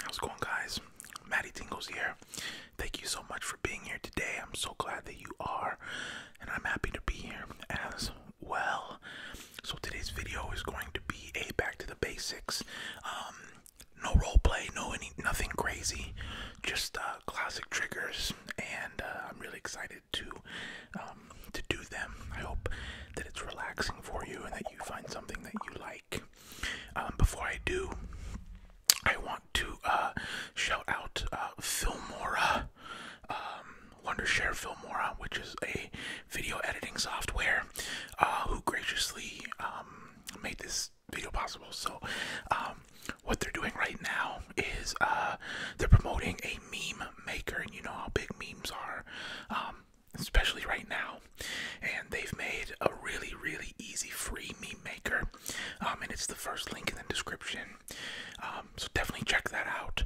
How's it going, guys? Maddie Tingles here. Thank you so much for being here today. I'm so glad that you are, and I'm happy to be here as well. So, today's video is going to be a back to the basics. Um, no role play, no any nothing crazy, just uh, classic triggers, and uh, I'm really excited to um, to do them. I hope that it's relaxing for you and that you find something that you like. Um, before I do, I want to uh, shout out Filmora, um, Wondershare Filmora, which is a video editing software who graciously made this video possible. So, um, what they're doing right now is uh, they're promoting a meme maker, and you know how big memes are, um, especially right now. And they've made a really, really easy free meme maker, um, and it's the first link in the description. so definitely check that out.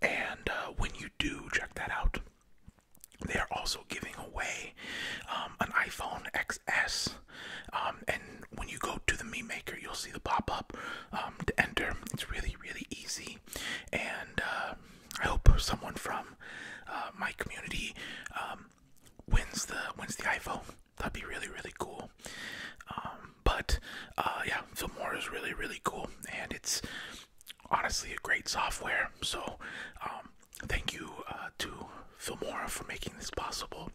And uh, when you do check that out, they are also giving away an iPhone X. XS. Um, and when you go to the meat maker, you'll see the pop up um, to enter. It's really, really easy. And uh, I hope someone from uh, my community um, wins the wins the iPhone. That'd be really, really cool. but uh, yeah, Filmora is really, really cool, and it's honestly a great software. So thank you uh, to Filmora for making this possible,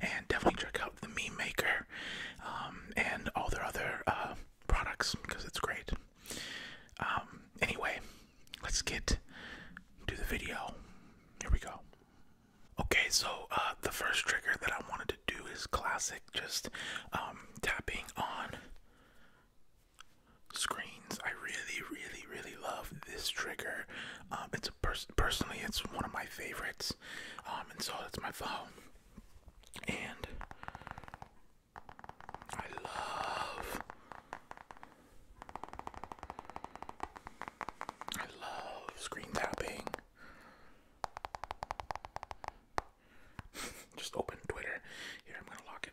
and definitely check out the Meme Maker um, and all their other uh, products because it's great. Um, anyway, let's get to the video. Here we go. Okay, so uh, the first trigger that I wanted to do is classic, just um, tapping on screens. I really, really, really love this trigger. it's a personally, it's one of my favorites, um, and so that's my vow. And I love, I love screen tapping. Just open Twitter. Here, I'm gonna lock it.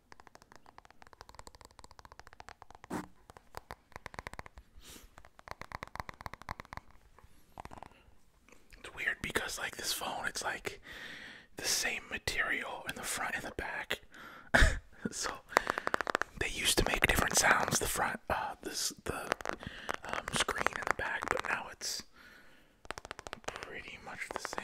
It's weird because like this phone, it's like the same material in the front and the back. so they used to make different sounds the front, uh, this the um, screen in the back, but now it's pretty much the same.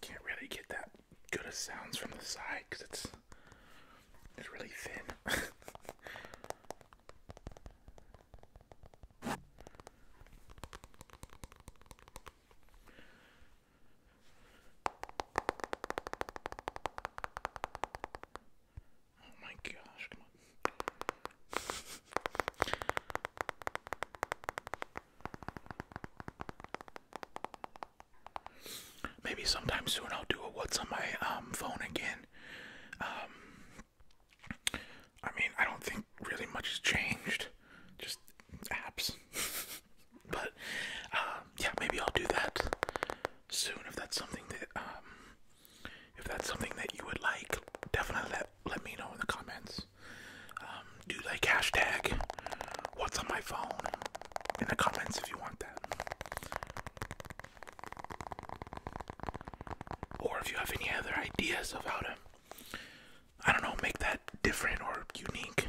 Can't really get that good of sounds from the side because it's it's really thin. Oh my gosh, Maybe sometime soon I'll do a what's on my um, phone again. Um, I mean, I don't think really much has changed. Just apps. but um, yeah, maybe I'll do that soon if that's something that um, if that's something that you would like. Definitely let let me know in the comments. Um, do like hashtag what's on my phone in the comments if you want that, or if you have any other ideas of how I don't know make that different or unique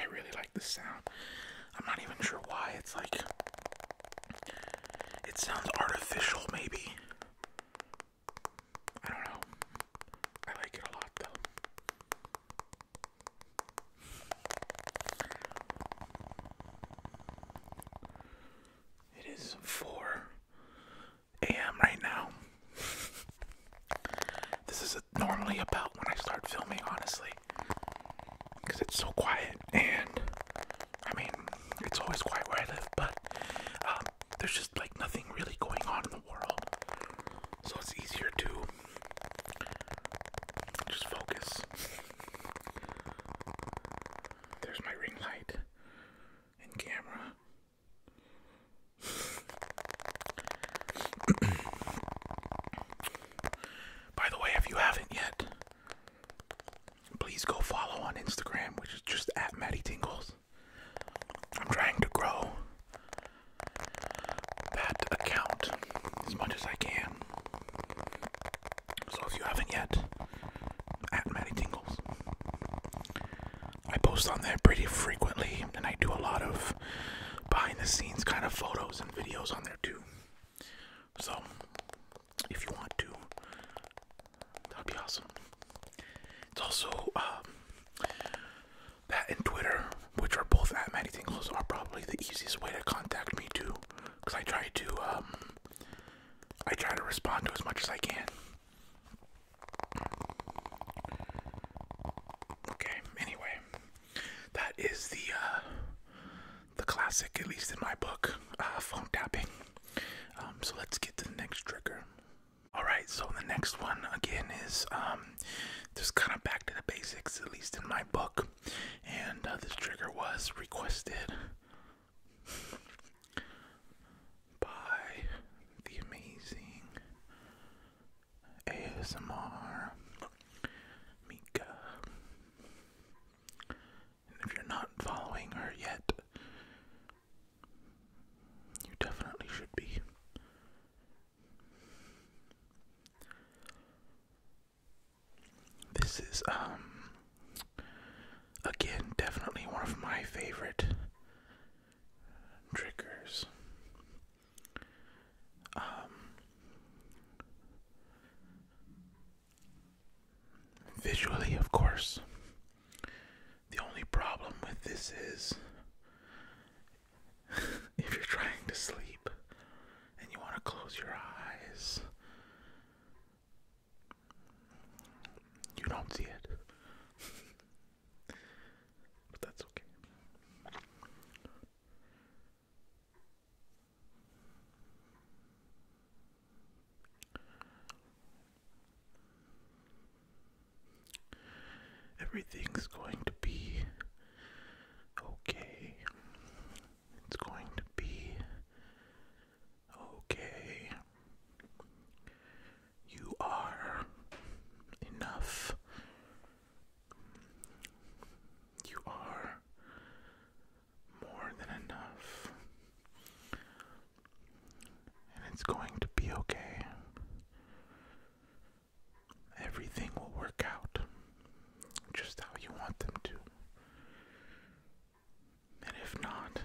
I really like the sound. I'm not even sure why. It's like. It sounds artificial, maybe. I don't know. I like it a lot, though. It is four a.m. right now. this is normally about when I start filming, honestly, because it's so quiet. And I mean, it's always quiet where I live, but um, there's just like nothing really going on in the world, so it's easier to just focus. There's my ring light and camera. By the way, if you haven't yet, please go follow on Instagram, which is just at Maddie Tingles. I'm trying to grow that account as much as I can. So if you haven't yet, at Maddie Tingles. I post on there pretty frequently, and I do a lot of behind the scenes kind of photos and videos on there too. So, if you want to, that'd be awesome. It's also um, that and Twitter, which are both at many things, are probably the easiest way to contact me too, because I try to um, I try to respond to as much as I can. Okay, anyway, that is the uh, the classic, at least in my book, uh, phone tapping. Um, so let's get to the next trigger. All right, so the next one again is um, just kind of back to the basics, at least in my book, and uh, this trigger was requested by the amazing ASMR Mika. And if you're not following her yet, you definitely should be. This is, um, again, definitely one of my favorite triggers. Um, visually, of course. The only problem with this is if you're trying to sleep and you want to close your eyes, you don't see it. But that's okay. Everything's going to be okay. It's going to be okay. You are enough. You are more than enough. And it's going to be okay. Everything will work out just how you want them to. And if not,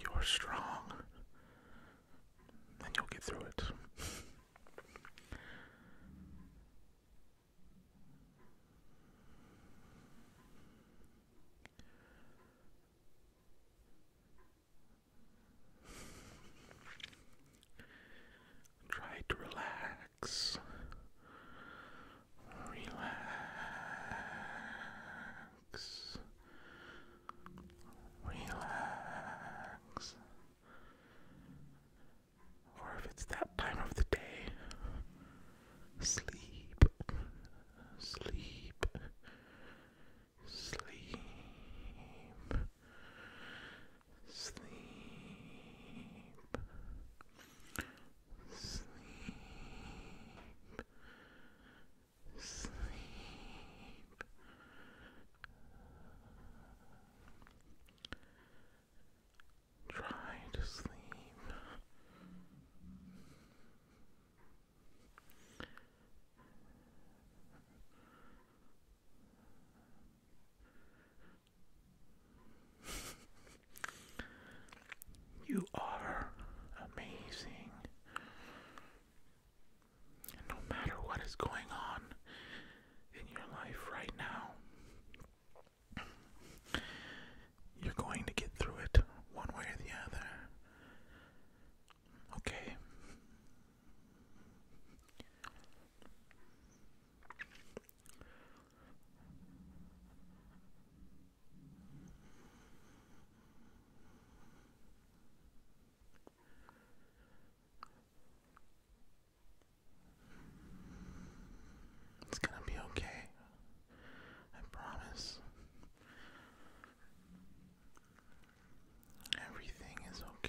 you're strong. And you'll get through it. Try to relax. Relax. Relax. Or if it's that time of the day, sleep. Sleep. Sleep. Sleep sleep, sleep. Try to sleep. You are amazing. no matter what is going on in your life right now, you're going to get through it one way or the other. Okay. It's gonna be okay. I promise. Everything is okay.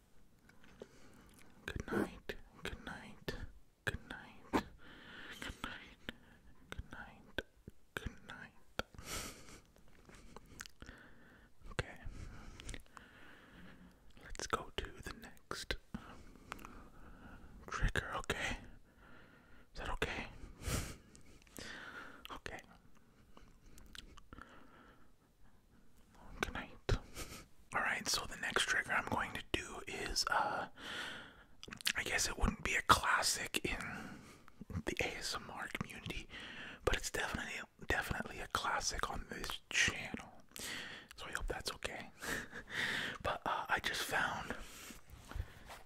Good night. Good night. Good night. Good night. Good night. Good night. okay. Let's go to the next trigger, okay? Is that okay? okay. Good night. Alright, so the next trigger I'm going to do is, uh, I guess it wouldn't be a classic in the ASMR community, but it's definitely, definitely a classic on this channel. So I hope that's okay. but uh, I just found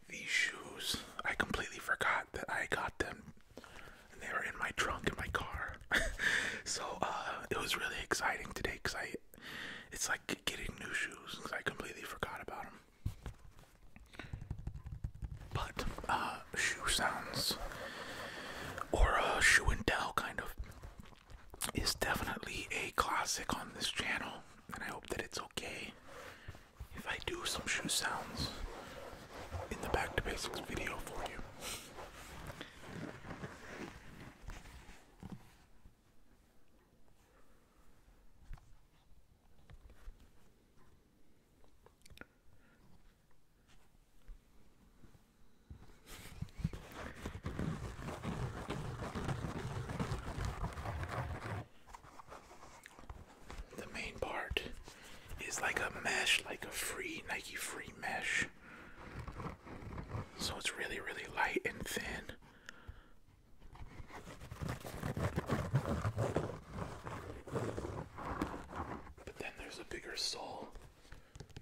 these shoes. I completely forgot that I got them. And they were in my trunk in my car. so uh, it was really exciting today because I, it's like getting new shoes because I completely forgot about them. But uh, shoe sounds or a shoe and tell kind of is definitely a classic on this channel, and I hope that it's okay if I do some shoe sounds in the back to basics video for you. The main part is like a mesh, like a free Nike free mesh so it's really, really light and thin. But then there's a bigger sole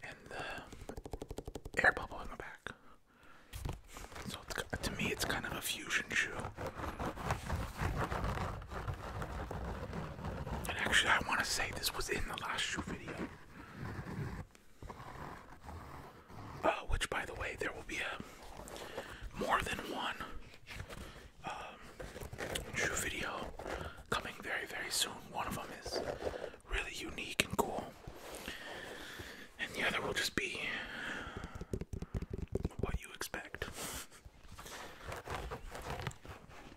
and the air bubble in the back. So to me, it's kind of a fusion shoe. And actually, I want to say this was in the last shoe video. Uh, which, by the way, there will be a more than one shoe um, video coming very, very soon. One of them is really unique and cool, and the other will just be what you expect.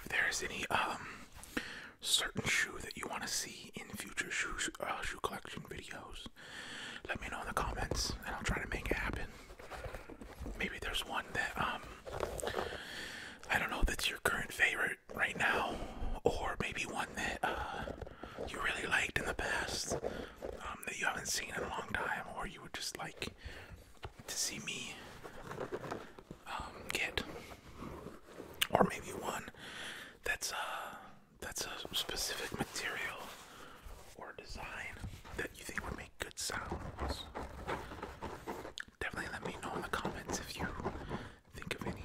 If there's any um certain shoe that you want to see in future shoe uh, shoe collection videos, let me know in the comments and I'll try to make it happen. Maybe there's one that um, I don't know that's your current favorite right now or maybe one that uh, you really liked in the past um, that you haven't seen in a long time or you would just like to see me um, get or maybe one that's uh, that's a specific material or design that you think would make good sounds. Definitely let me know in the comments if you think of any.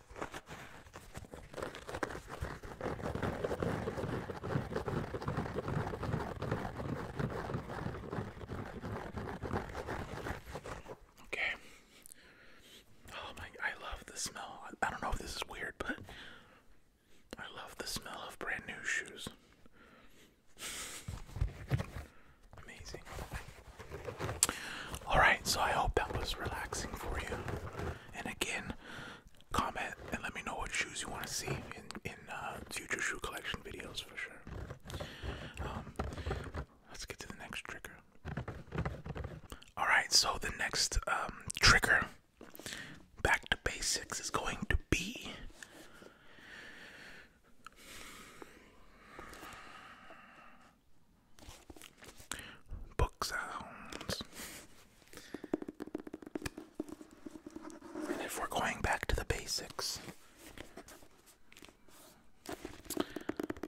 Okay. Oh my, I love the smell. I, don't know if this is weird, but I love the smell of brand new shoes. Amazing. Alright, so I hope that was relaxing for you. And again, comment and let me know what shoes you want to see in in uh, future shoe collection videos for sure. Um, let's get to the next trigger. All right, so the next um, trigger, back to basics, is going to be. Book sounds. And if we're going back to the basics,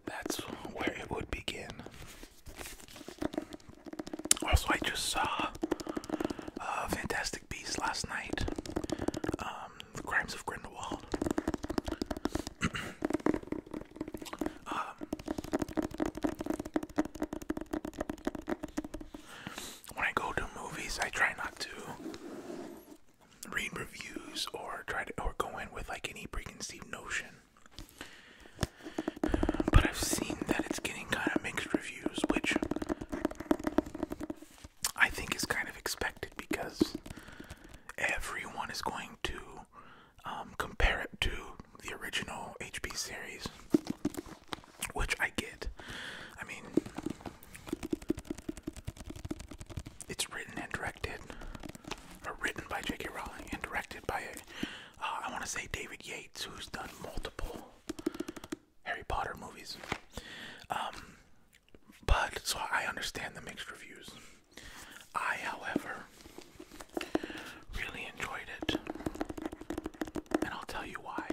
that's where it would begin. Also, I just saw uh, Fantastic Beasts last night um, The Crimes of Grindelwald. Um, when I go to movies, I try not to read reviews or try to or go in with like any preconceived notion. But I've seen that it's getting kind of mixed reviews, which I think is kind of expected because everyone is going to um, compare it to the original HP series, which I get. I mean, it's written and directed, or written by J.K. Rowling and directed by, uh, I want to say, David Yates, who's done multiple Harry Potter movies. Um, but so I understand the mixed reviews. I, however, really enjoyed it, and I'll tell you why.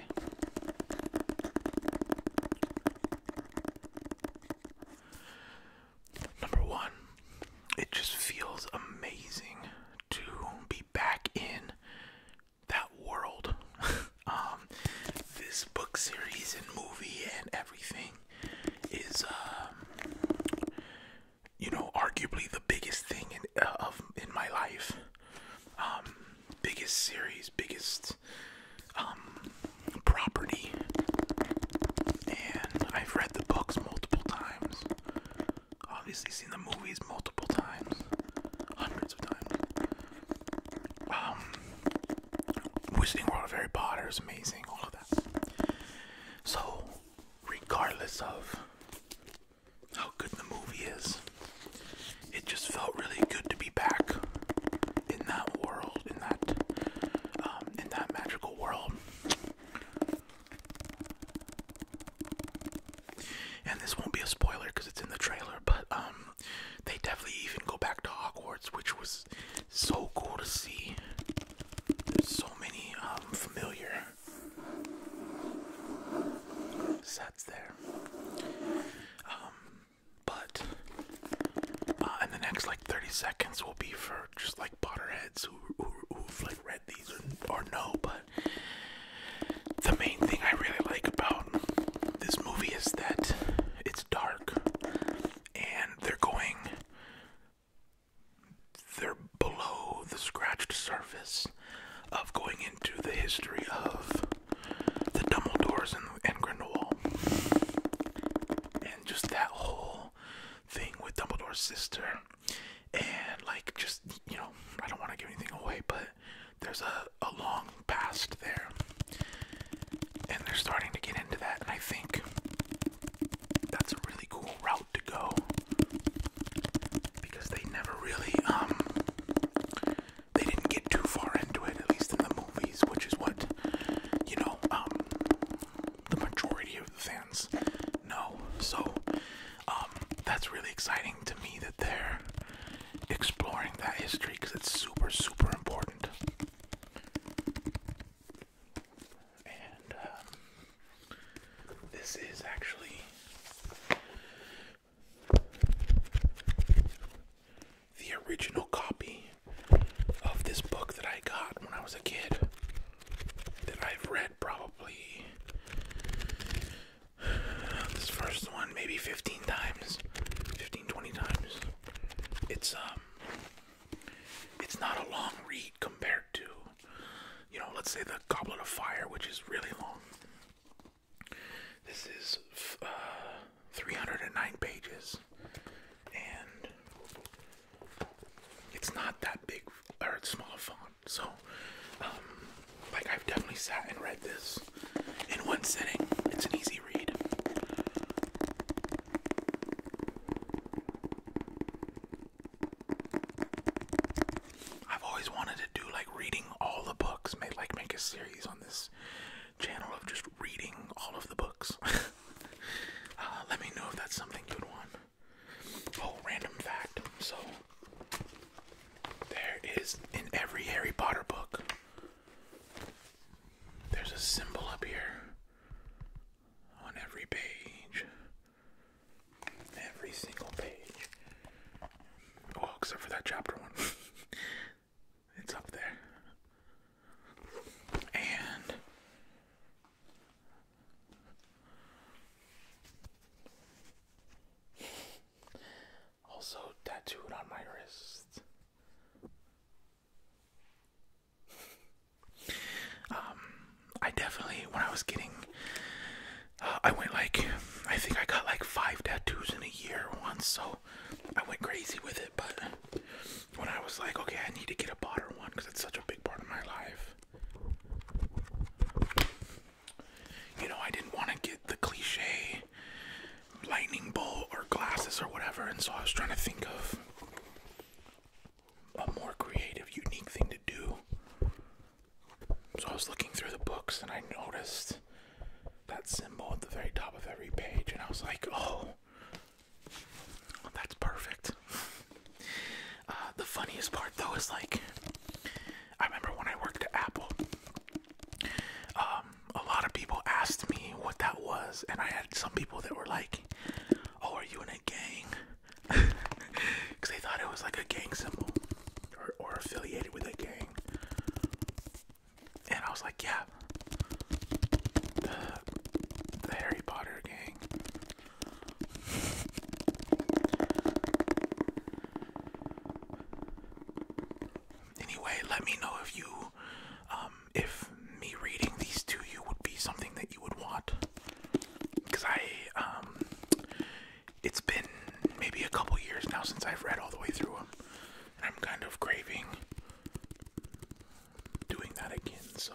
Number one, it just feels amazing to be back in that world. Um, this book series and movie and everything is um, you know, arguably the biggest thing in uh, in my life, um, biggest series, biggest um, property, and I've read the books multiple times. Obviously, seen the movies multiple times, hundreds of times. Um, Wizarding World of Harry Potter is amazing. All of that. So regardless of how good the movie is, it just felt really good to be back in that world, in that um, in that magical world. And this won't be a spoiler because it's in the trailer, but um, they definitely even go back to Hogwarts, which was so cool to see. There's so many um, familiar sets there. Um, but uh, in the next like 30 seconds will be for just like Potterheads who, who, who've like read these or no, but the main thing I really like about this movie is that it's dark and they're going they're below the scratched surface of going into the history of the Dumbledores and, and Grindelwald. And just that whole thing with Dumbledore's sister. And, like, just, you know, I don't want to give anything away, but there's a, a long past there. And they're starting to get into that, and I think that's a really cool route to go because they never really um they didn't get too far into it at least in the movies, which is what you know um the majority of the fans know. So um that's really exciting to me that they're exploring that history because it's super super important and um, this is actually the original copy of this book that I got when I was a kid that I've read probably this first one maybe 15 times 15 20 times it's um it's not a long read compared to, you know, let's say the Goblet of Fire, which is really long. This is uh, 309 pages, and it's not that big or it's small font. So, um, like I've definitely sat and read this in one sitting. It's an easy read. I've always wanted to do like reading all the books, make like make a series on this channel of just reading all of the books. uh, let me know if that's something you'd want. Oh, random fact. So there is in every Harry Potter book. There's a symbol up here on every page Every single page. Well, oh, except for that chapter one. it's up there. And also tattooed on my wrist um, I definitely when I was getting, uh, I went like, I think I got like five tattoos in a year once, so I went crazy with it. But when I was like, okay, I need to get a bottom one because it's such a big part of my life. You know, I didn't want to get the cliche lightning bolt or glasses or whatever, and so I was trying to think of a more creative, unique thing to do. So I was looking through the books and I noticed that symbol at the very top of every page, and I was like, oh, that's perfect. Uh, the funniest part though is like, I remember when I worked at Apple, um, a lot of people asked me what that was, and I had some people that were like, oh, are you in a gang? Because they thought it was like a gang symbol or, or affiliated with a gang. And I was like, yeah, the, Harry Potter gang. Anyway, let me know if you, um, if me reading these to you would be something that you would want because I um, it's been maybe a couple years now since I've read all the way through them, and I'm kind of craving doing that again. So.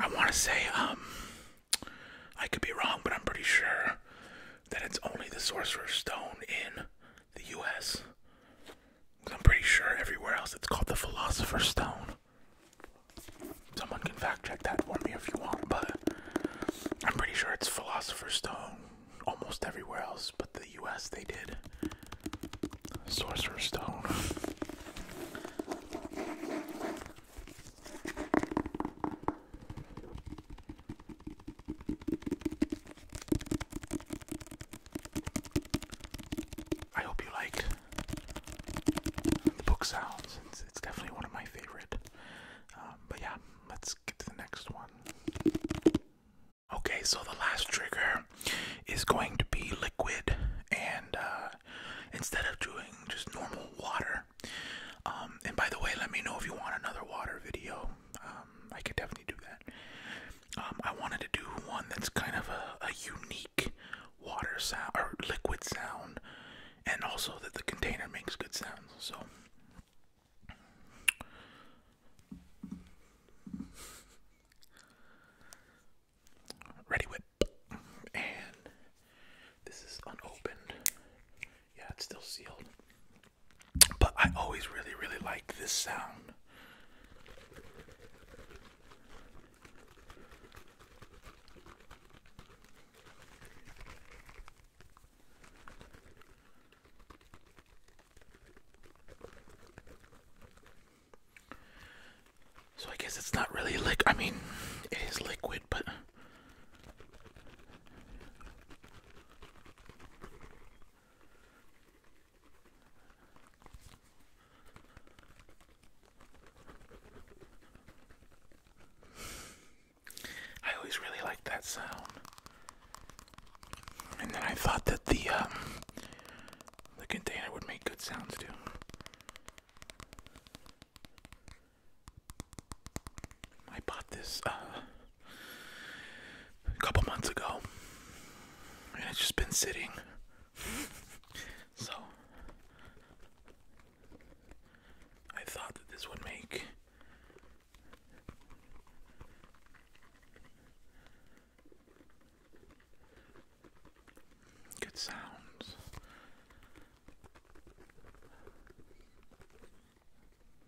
I want to say, um, I could be wrong, but I'm pretty sure that it's only the Sorcerer's Stone in the U.S. I'm pretty sure everywhere else it's called the Philosopher's Stone. Someone can fact check that for me if you want, but I'm pretty sure it's Philosopher's Stone almost everywhere else, but the U.S. they did Sorcerer's Stone. I hope you like the book sounds. It's, definitely one of my favorite. Um, but yeah, let's get to the next one. Okay, so the last trigger is going to be liquid, and uh, instead of doing just normal water, um, and by the way, let me know if you want another water video. Um, I can definitely do that. Um, I wanted to do one that's kind of a, unique water sound or liquid sound, and also that the container makes good sounds. So. Ready with, and this is unopened. Yeah, it's still sealed. But I always really, really like this sound. So I guess it's not really liquid. I mean, it is liquid, but. I always really liked that sound. And then I thought that the um, the container would make good sounds too. I bought this uh, a couple months ago, and it's just been sitting. so, I thought that this would make good sounds.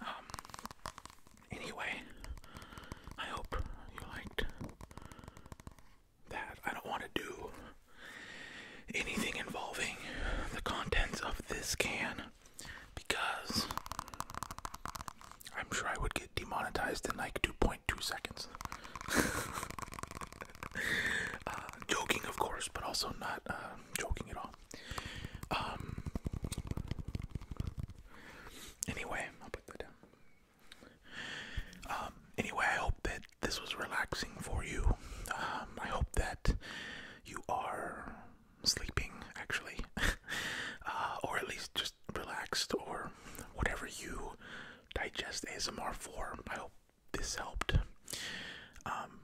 Um, anyway, I hope you liked that. I don't want to do anything involving the contents of this can because I'm sure I would get demonetized in like 2.2 seconds. Uh, joking, of course, but also not uh, joking at all. Um. Anyway, I'll put that down. Um. Anyway, I hope that this was relaxing for you. Um. I hope that you are sleeping actually, uh, or at least just relaxed or whatever you digest ASMR for. I hope this helped. Um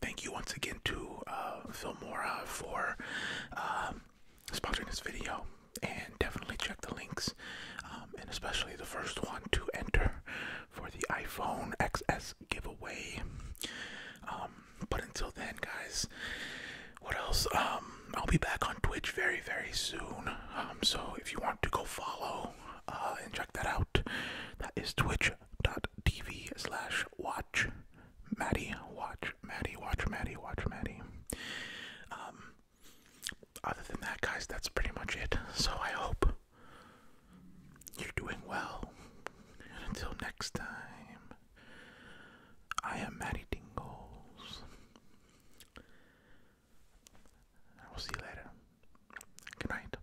thank you once again to uh, Filmora for um, sponsoring this video. And definitely check the links, um, and especially the first one to enter for the iPhone XS giveaway. Um, but until then, guys, what else? I'll be back on Twitch very, very soon. so if you want to go follow uh, and check that out, that is twitch.tv slash watch Maddie, watch Maddie, watch Maddie, watch Maddie. Um, other than that, guys, that's pretty much it. So I hope you're doing well. And until next time, I am Maddie Dingles. I will see you later. Good night.